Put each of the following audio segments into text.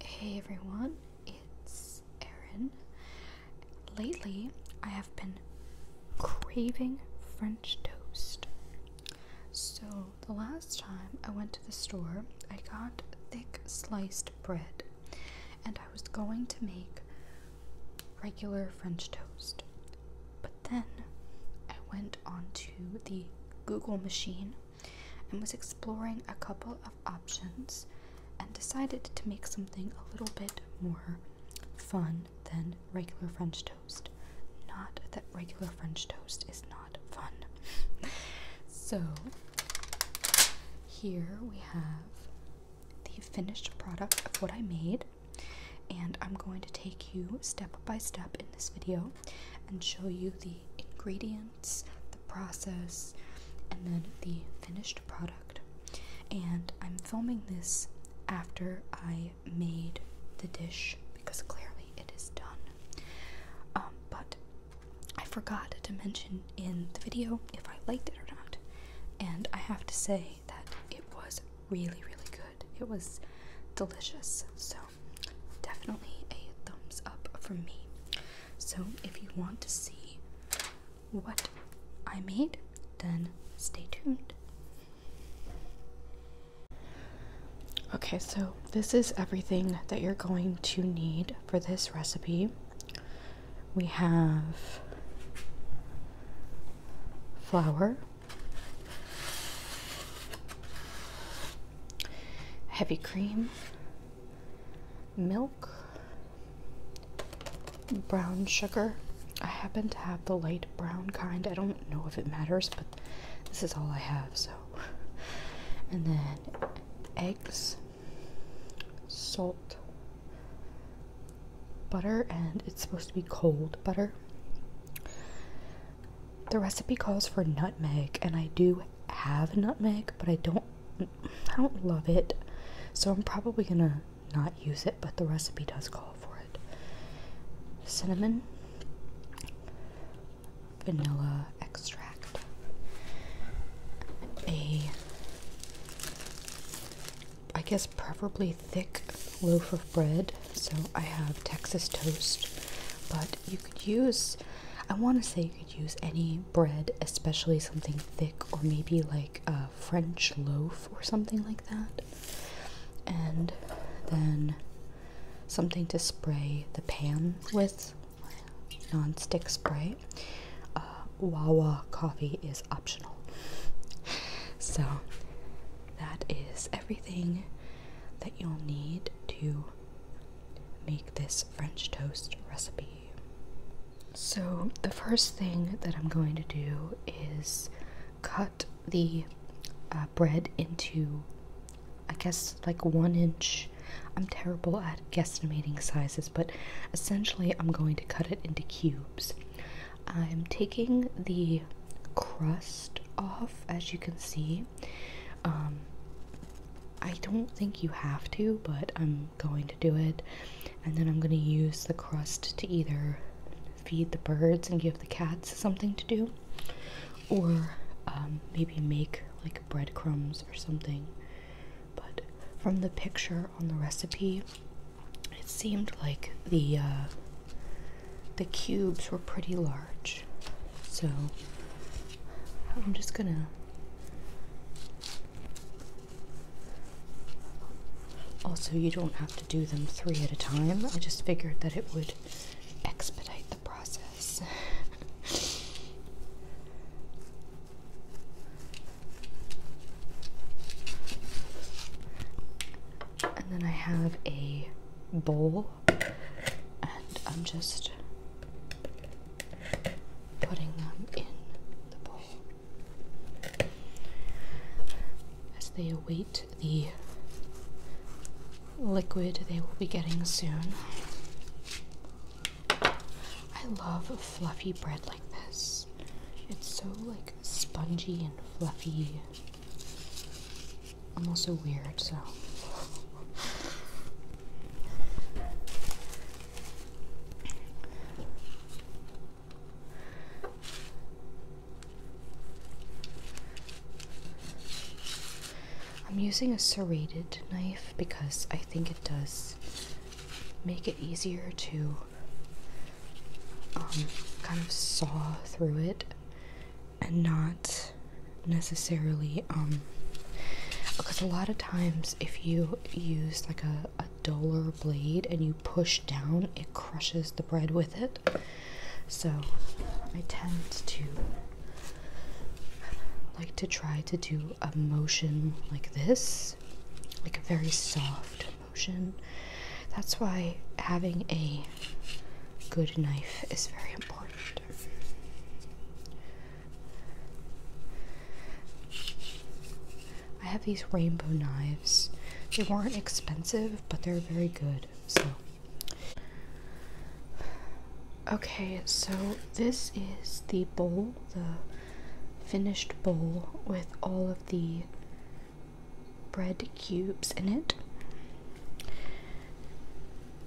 Hey everyone, it's Erin. Lately, I have been craving French toast. So, the last time I went to the store, I got thick sliced bread and I was going to make regular French toast. But then I went onto the Google machine and was exploring a couple of options and decided to make something a little bit more fun than regular French toast. Not that regular French toast is not fun. so, here we have the finished product of what I made. And I'm going to take you step by step in this video and show you the ingredients the process, and then the finished product. And I'm filming this after I made the dish because clearly it is done. Um, but I forgot to mention in the video if I liked it or not. And I have to say that it was really, really good. It was delicious. So definitely a thumbs up from me. So if you want to see what I made, then stay tuned. Okay, so this is everything that you're going to need for this recipe. We have flour, heavy cream, milk, brown sugar. I happen to have the light brown kind. I don't know if it matters, but this is all I have, so. And then eggs, salt, butter, and it's supposed to be cold butter. The recipe calls for nutmeg, and I do have nutmeg, but I don't I don't love it. So I'm probably going to not use it, but the recipe does call for it. Cinnamon, vanilla extract, a I guess preferably thick loaf of bread. So I have Texas toast, but you you could use I want to say you could use any bread, especially something thick or maybe like a French loaf or something like that. And then something to spray the pan with, non-stick spray. Uh, Wawa coffee is optional. So that is everything that you'll need to make this French toast recipe. So, the first thing that I'm going to do is cut the uh, bread into, I guess, like one inch. I'm terrible at guesstimating sizes, but essentially, I'm going to cut it into cubes. I'm taking the crust off, as you can see, um, I don't think you have to, but I'm going to do it. And then I'm going to use the crust to either feed the birds and give the cats something to do, or um, maybe make like breadcrumbs or something. But from the picture on the recipe, it seemed like the uh, the cubes were pretty large. So I'm just gonna. Also, you don't have to do them three at a time. I just figured that it would expedite the process. and then I have a bowl and I'm just putting them in the bowl as they await the liquid they will be getting soon. I love fluffy bread like this. It's so like spongy and fluffy. I'm also weird, so. I'm using a serrated knife because I think it does make it easier to um, kind of saw through it and not necessarily um because a lot of times if you use like a, a duller blade and you push down it crushes the bread with it so i tend to like to try to do a motion like this like a very soft motion that's why having a good knife is very important. I have these rainbow knives. They weren't expensive, but they're very good. So Okay, so this is the bowl, the finished bowl with all of the bread cubes in it.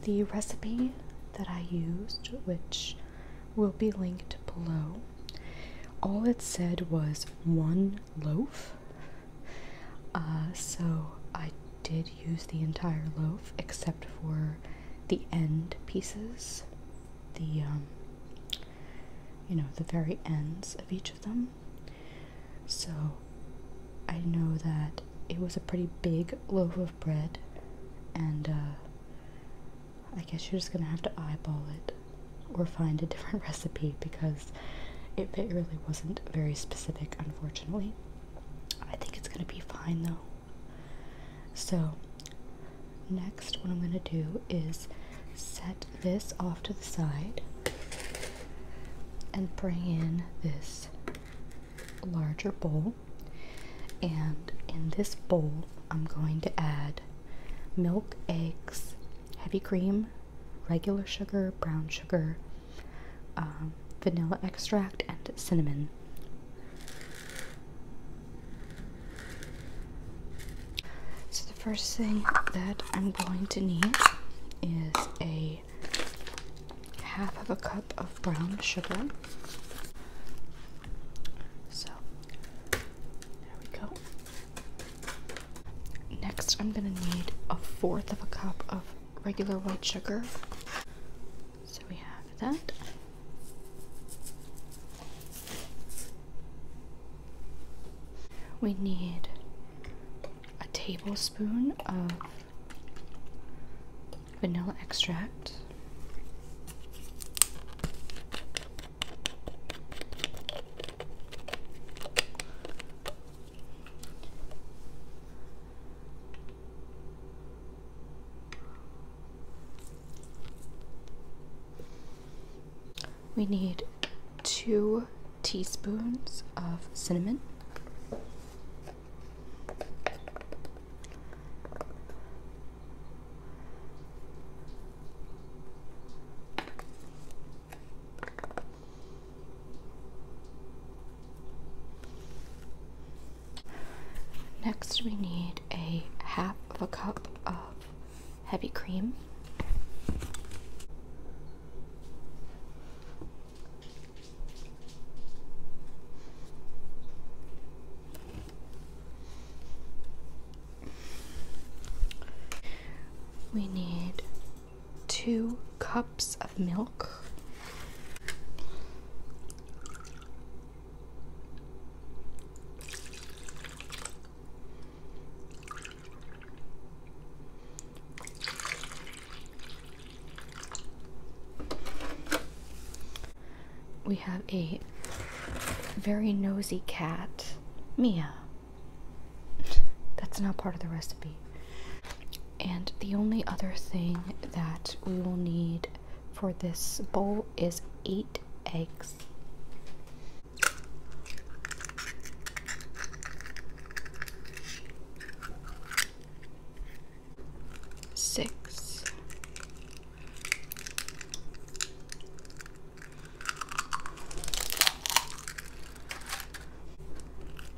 The recipe that I used, which will be linked below, all it said was one loaf. Uh, so I did use the entire loaf except for the end pieces, the um, you know, the very ends of each of them. So I know that it was a pretty big loaf of bread, and uh, I guess you're just gonna have to eyeball it or find a different recipe because it, it really wasn't very specific, unfortunately. I think it's gonna be fine though. So, next, what I'm gonna do is set this off to the side and bring in this larger bowl. And in this bowl, I'm going to add milk, eggs, heavy cream, regular sugar, brown sugar, um, vanilla extract, and cinnamon first thing that I'm going to need is a half of a cup of brown sugar. So, there we go. Next, I'm going to need a fourth of a cup of regular white sugar. So, we have that. We need a tablespoon of vanilla extract. We need two teaspoons of cinnamon. Next we need a half of a cup of heavy cream. We need two cups of milk. We have a very nosy cat, Mia. That's not part of the recipe. And the only other thing that we will need for this bowl is eight eggs. Six,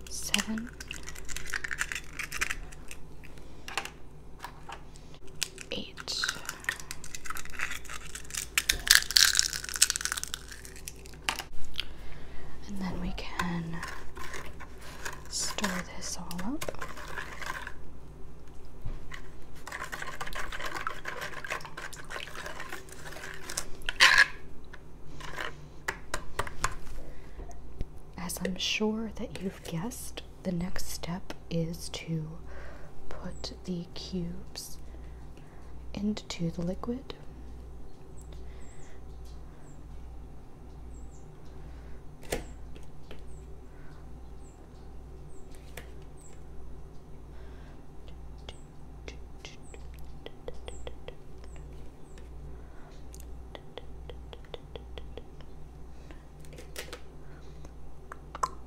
seven, eight. And then we can stir this all up. As I'm sure that you've guessed, the next step is to put the cubes into the liquid.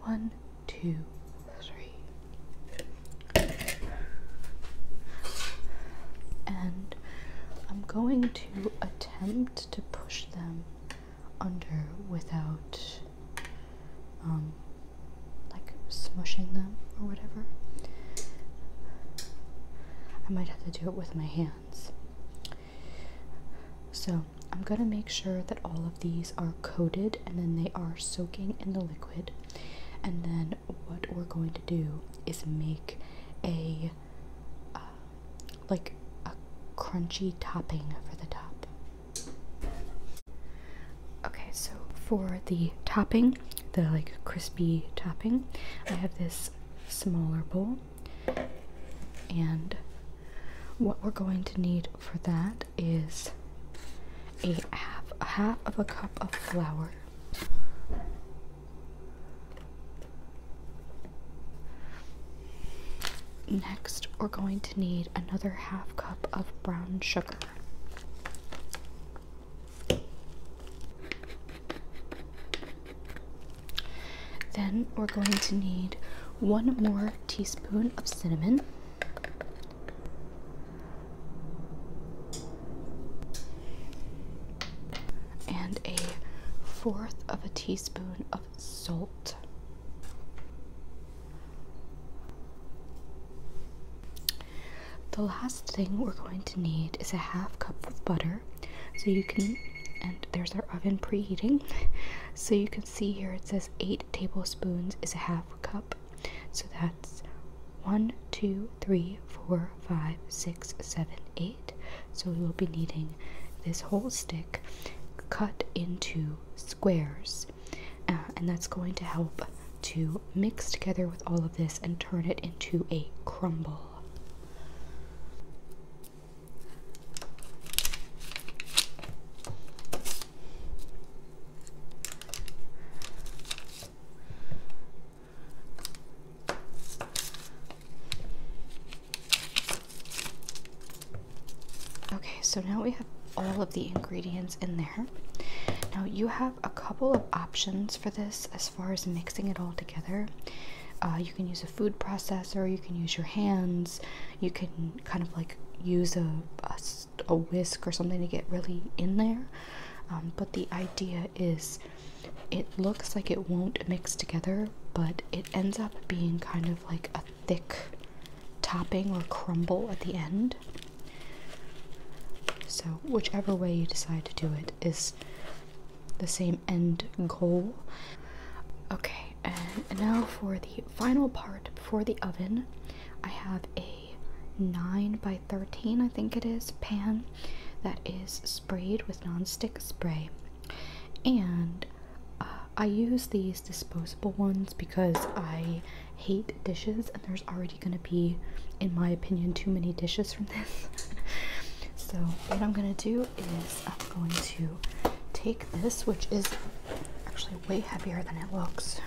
One, two, three. And I'm going to attempt to push them under without um, like smushing them or whatever. I might have to do it with my hands. So I'm going to make sure that all of these are coated and then they are soaking in the liquid. And then what we're going to do is make a uh, like a crunchy topping for the top. Okay, so for the topping, the like crispy topping, I have this smaller bowl. And what we're going to need for that is a half, a half of a cup of flour. Next, we're going to need another half cup of brown sugar. Then we're going to need one more teaspoon of cinnamon. And a fourth of a teaspoon of salt. The last thing we're going to need is a half cup of butter. So you can, and there's our oven preheating, so you can see here it says 8 tablespoons is a half cup. So that's one, two, three, four, five, six, seven, eight. So we will be needing this whole stick cut into squares. Uh, and that's going to help to mix together with all of this and turn it into a crumble. Okay, so now we have all of the ingredients in there. Now, you have a couple of options for this as far as mixing it all together. Uh, you can use a food processor, you can use your hands, you can kind of like use a, whisk or something to get really in there. Um, but the idea is it looks like it won't mix together, but it ends up being kind of like a thick topping or crumble at the end. So, whichever way you decide to do it is the same end goal. Okay, and now for the final part for the oven, I have a 9 by 13, I think it is, pan that is sprayed with non-stick spray. And uh, I use these disposable ones because I hate dishes and there's already going to be, in my opinion, too many dishes from this. so what I'm going to do is I'm going to take this, which is actually way heavier than it looks,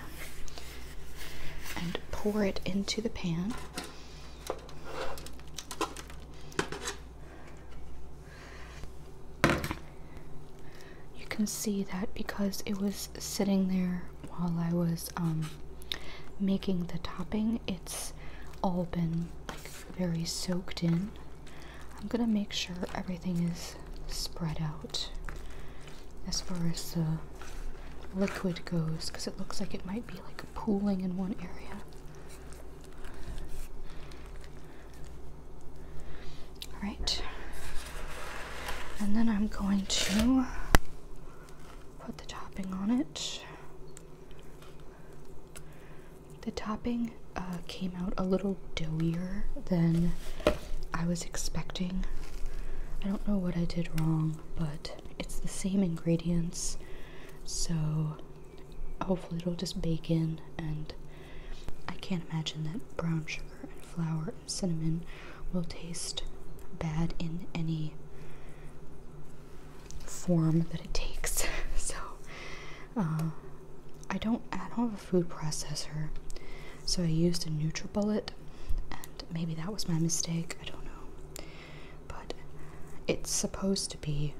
and pour it into the pan. You can see that because it was sitting there while I was um, making the topping, it's all been like very soaked in. I'm gonna make sure everything is spread out as far as the liquid goes because it looks like it might be like pooling in one area. Alright, and then I'm going to put the topping on it. The topping uh, came out a little doughier than I was expecting. I don't know what I did wrong, but it's the same ingredients, so hopefully it'll just bake in. And I can't imagine that brown sugar and flour and cinnamon will taste bad in any form that it takes. so uh, I don't. I don't have a food processor, so I used a NutriBullet, and maybe that was my mistake. I don't know, but it's supposed to be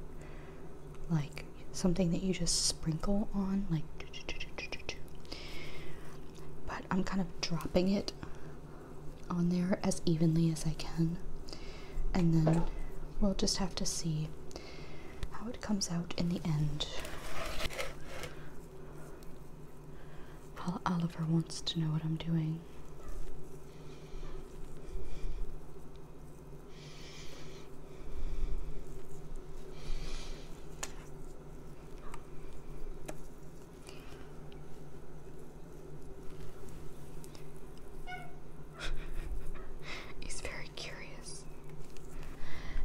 like something that you just sprinkle on, like. But I'm kind of dropping it on there as evenly as I can and then we'll just have to see how it comes out in the end. Oliver wants to know what I'm doing. He's very curious.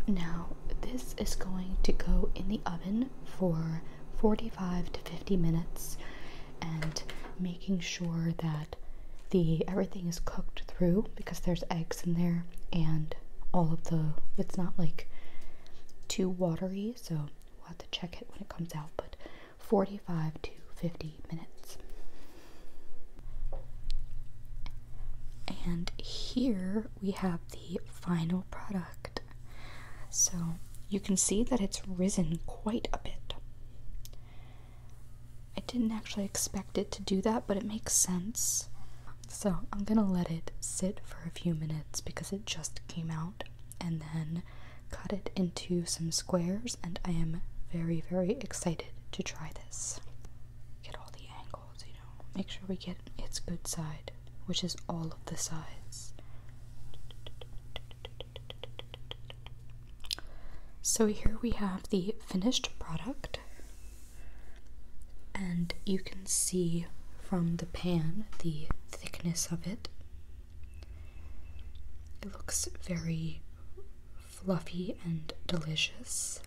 Now, this is going to go in the oven for 45 to 50 minutes and making sure that the everything is cooked through because there's eggs in there and all of the it's not like too watery so we'll have to check it when it comes out but 45 to 50 minutes. And here we have the final product. So you can see that it's risen quite a bit. I didn't actually expect it to do that, but it makes sense. So I'm gonna let it sit for a few minutes because it just came out and then cut it into some squares, and I am very, very excited to try this. Get all the angles, you know, make sure we get its good side, which is all of the sides. So here we have the finished product, and you can see from the pan the thickness of it it looks very fluffy and delicious.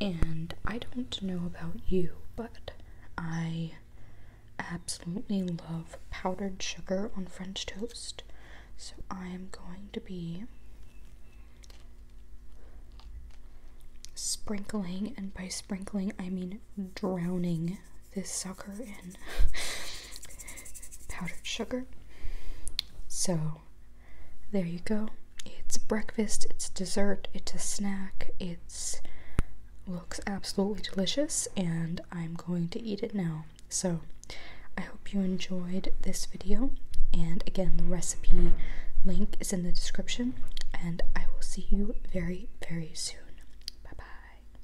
And I don't know about you, but I absolutely love powdered sugar on French toast. So I am going to be sprinkling, and by sprinkling I mean drowning this sucker in powdered sugar. So, there you go. It's breakfast, it's dessert, it's a snack, it's looks absolutely delicious and I'm going to eat it now. So, I hope you enjoyed this video and again the recipe link is in the description and I will see you very very soon. Bye bye.